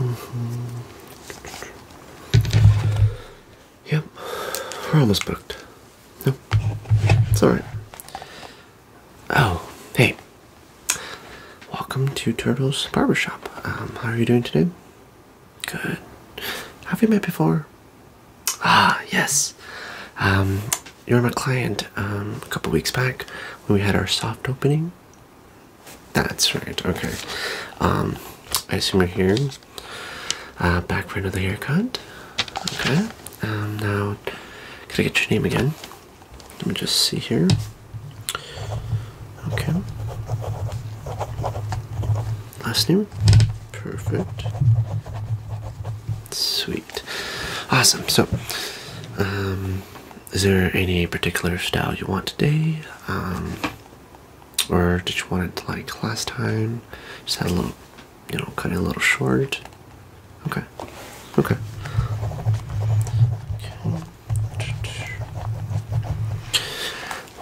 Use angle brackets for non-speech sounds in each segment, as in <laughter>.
Mm-hmm. Yep, we're almost booked. No, it's alright. Oh, hey. Welcome to Turtle's Barbershop. Um, how are you doing today? Good. Have we met before? Ah, yes. Um, you were my client um, a couple weeks back when we had our soft opening. That's right. Okay. Um, I assume you're here. Uh, back for another haircut. Okay. Um, now, can I get your name again? Let me just see here. Okay. Last name. Perfect. Sweet. Awesome. So, um, is there any particular style you want today? Um, or did you want it like last time? Just had a little, you know, cut it a little short. Okay. Okay.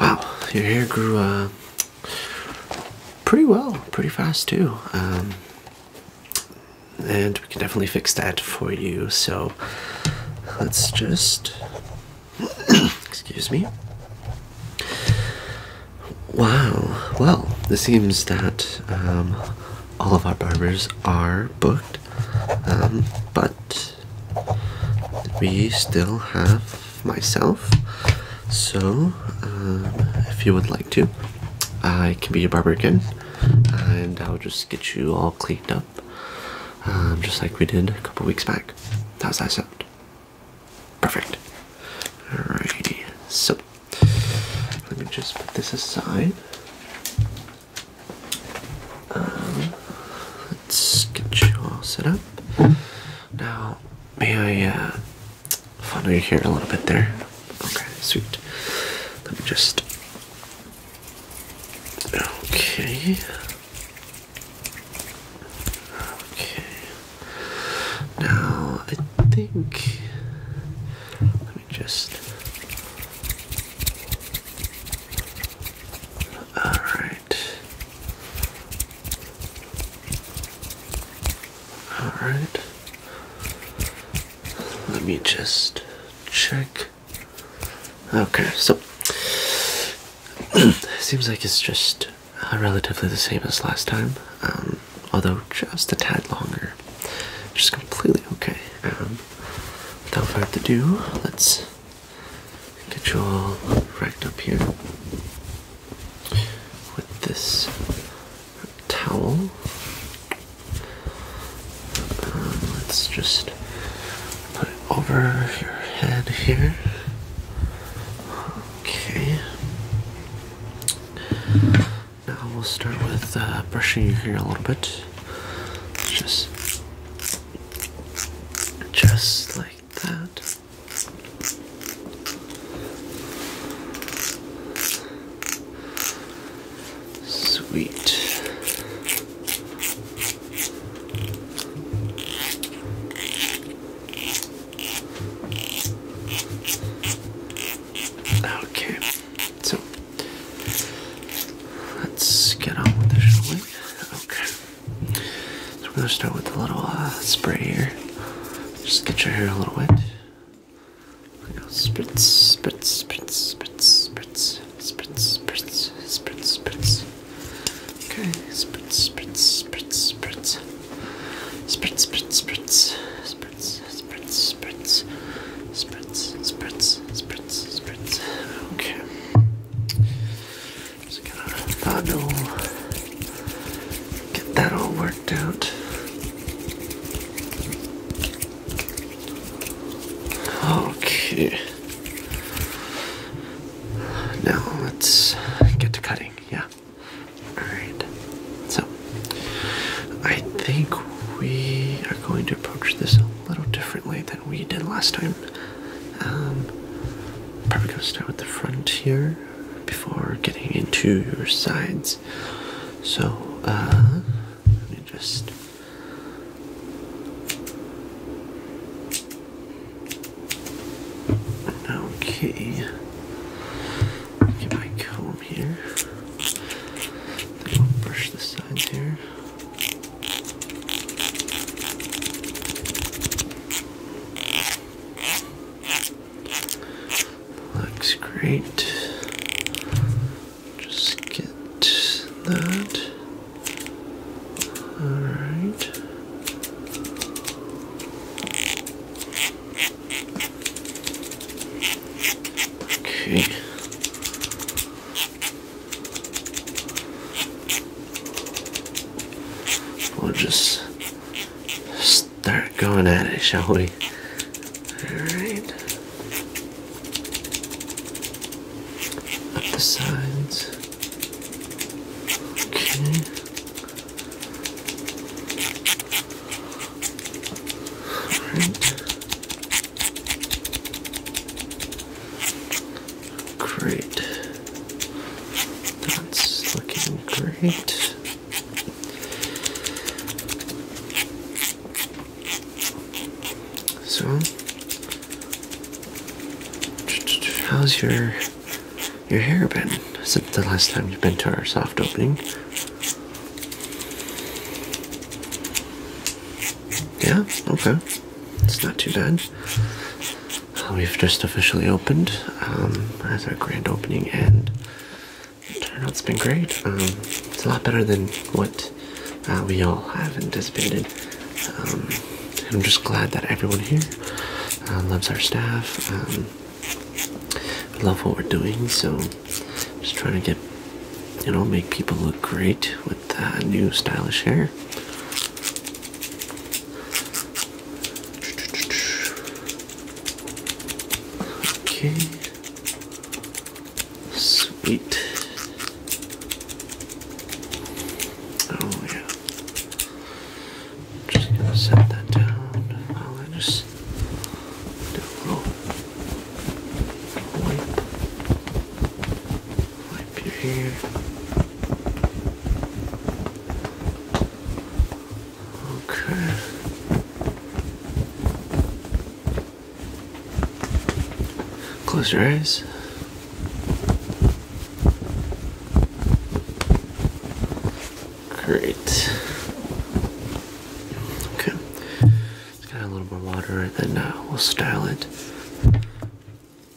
Wow, your hair grew uh, pretty well, pretty fast too. Um, and we can definitely fix that for you so let's just <clears throat> excuse me wow well it seems that um, all of our barbers are booked um, but we still have myself so um, if you would like to I can be your barber again and I'll just get you all cleaned up um, just like we did a couple weeks back. How's that sound? Perfect. Alrighty, so let me just put this aside. Um, let's get you all set up. Now, may I uh, follow you here a little bit there? Okay, sweet. Let me just. Okay. Okay. Now, I think. Let me just. Alright. Alright. Let me just check. Okay, so <clears throat> seems like it's just uh, relatively the same as last time, um, although just a tad longer. Just completely okay. Um, without further ado, let's get you all racked up here with this towel. Um, let's just put it over your head here. Okay. Now we'll start with uh, brushing your hair a little bit. Just, just like that. Sweet. Okay, so let's get on with this, we? Okay. So we're gonna start with a little uh, spray here. Just get your hair a little wet. Spritz, spritz, spritz, spritz, spritz, spritz, spritz, spritz, spritz. Okay, spritz, spritz, spritz, spritz. Spritz, spritz, spritz, spritz, spritz, spritz, spritz, spritz, spritz, spritz. Okay. Just gonna. I know. Get that all worked out. Okay. Now let's get to cutting, yeah. Alright. So, I think we are going to approach this a little differently than we did last time. Um, probably gonna start with the front here before getting into your sides. So, uh, let me just. Okay. Get my comb here. Then we brush the sides here. Looks great. Just get that. Alright. Okay. We'll just start going at it, shall we? Alright. Up the sides. Okay. Alright. Great. That's looking great. So, how's your your hair been since the last time you've been to our soft opening? Yeah, okay. It's not too bad. We've just officially opened um, as our grand opening, and turnout's been great. Um, it's a lot better than what uh, we all have anticipated. Um, I'm just glad that everyone here uh, loves our staff. Um, love what we're doing, so just trying to get you know make people look great with uh, new stylish hair. Okay. Sweet. Oh yeah. Just gonna set that down. I'll oh, just do a little wipe wipe your hair. Okay. Close your eyes. Great. Okay. Just got a little more water and then uh, we'll style it.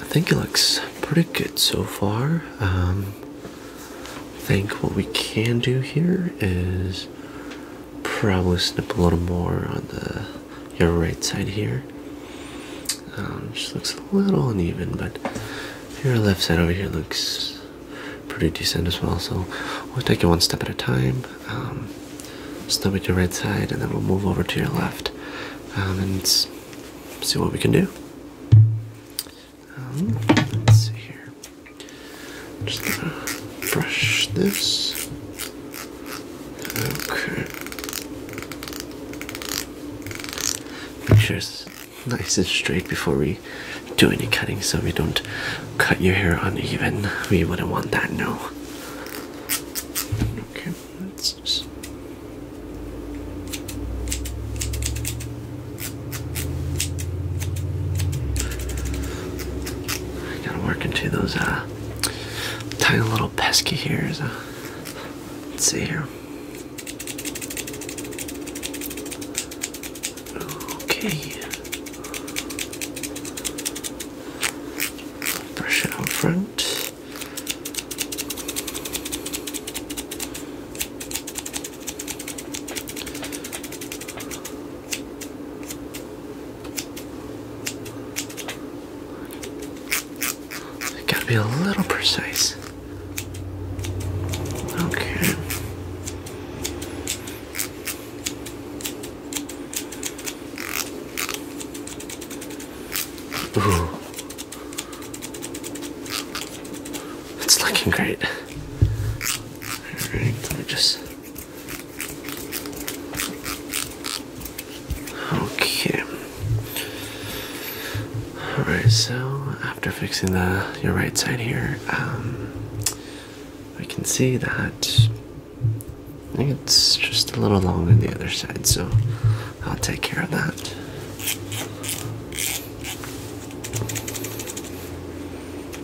I think it looks pretty good so far. Um, I think what we can do here is probably snip a little more on the your right side here. Um, just looks a little uneven, but your left side over here looks pretty decent as well. So we'll take it one step at a time. Um, stop at your right side, and then we'll move over to your left um, and see what we can do. Um, let's see here. Just brush this. Okay. Make sure it's nice and straight before we do any cutting so we don't cut your hair uneven. We wouldn't want that, no. Okay, let's just. I gotta work into those uh, tiny little pesky hairs. Uh, let's see here. Okay. Brush it on front. I gotta be a little precise. Okay. Ooh. It's looking great. Alright, let Okay. Alright, so after fixing the your right side here, um, I can see that I think it's just a little longer on the other side, so I'll take care of that.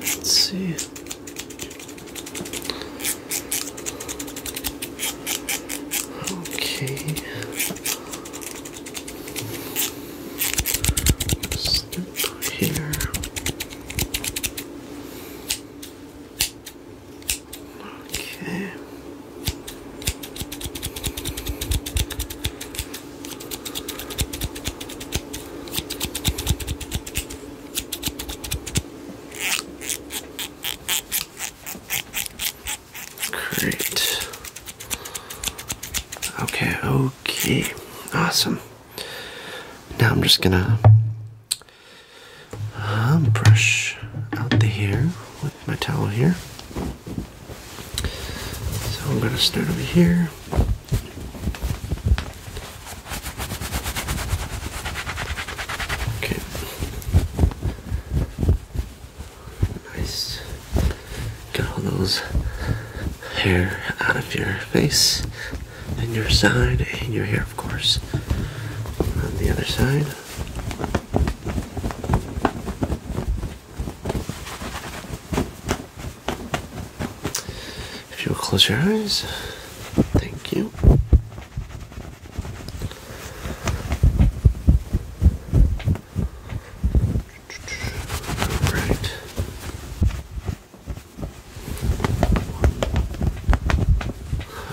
Let's see. Okay here. Okay. Great. Okay, okay. Awesome. Now I'm just gonna um, brush out the hair with my towel here. So I'm gonna start over here. Okay. Nice. Got all those hair out of your face and your side and your hair, of course, on the other side. If you'll close your eyes, thank you. All right.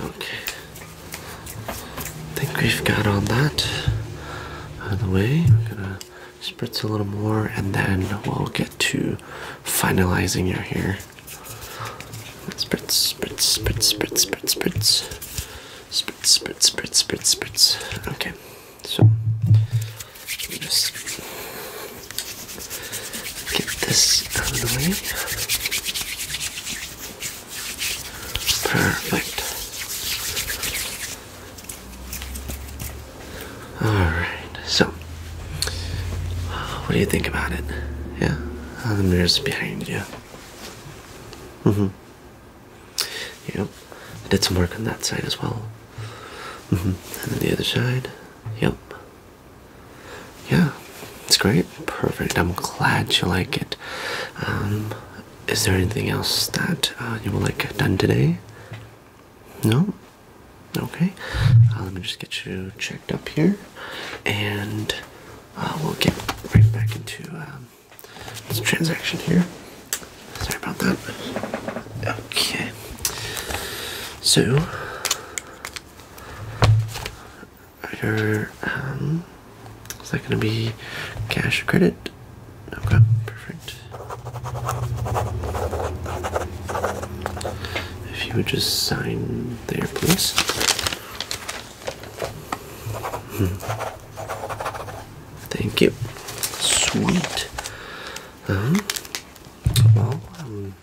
Okay. I think we've got all that out of the way. We're gonna spritz a little more and then we'll get to finalizing your hair. Spritz, spritz, spritz, spritz, spritz, spritz. Spritz, spritz, spritz, spritz, spritz. Okay. So just get this out of the way. Perfect. Alright, so uh, what do you think about it? Yeah? Oh, the mirror's behind you. Mm-hmm you know, I did some work on that side as well. Mm-hmm. And then the other side, yep. Yeah, it's great, perfect. I'm glad you like it. Um, is there anything else that uh, you would like done today? No? Okay. Uh, let me just get you checked up here, and uh, we'll get right back into um, this transaction here. Sorry about that. Okay. So your um is that gonna be cash or credit? Okay, perfect. If you would just sign there, please. Hmm. Thank you. Sweet. Um, well, I'm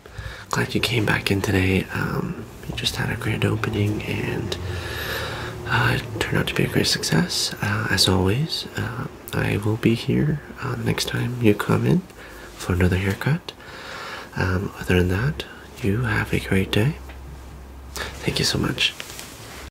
glad you came back in today. We um, just had a grand opening and uh, it turned out to be a great success. Uh, as always, uh, I will be here next time you come in for another haircut. Um, other than that, you have a great day. Thank you so much.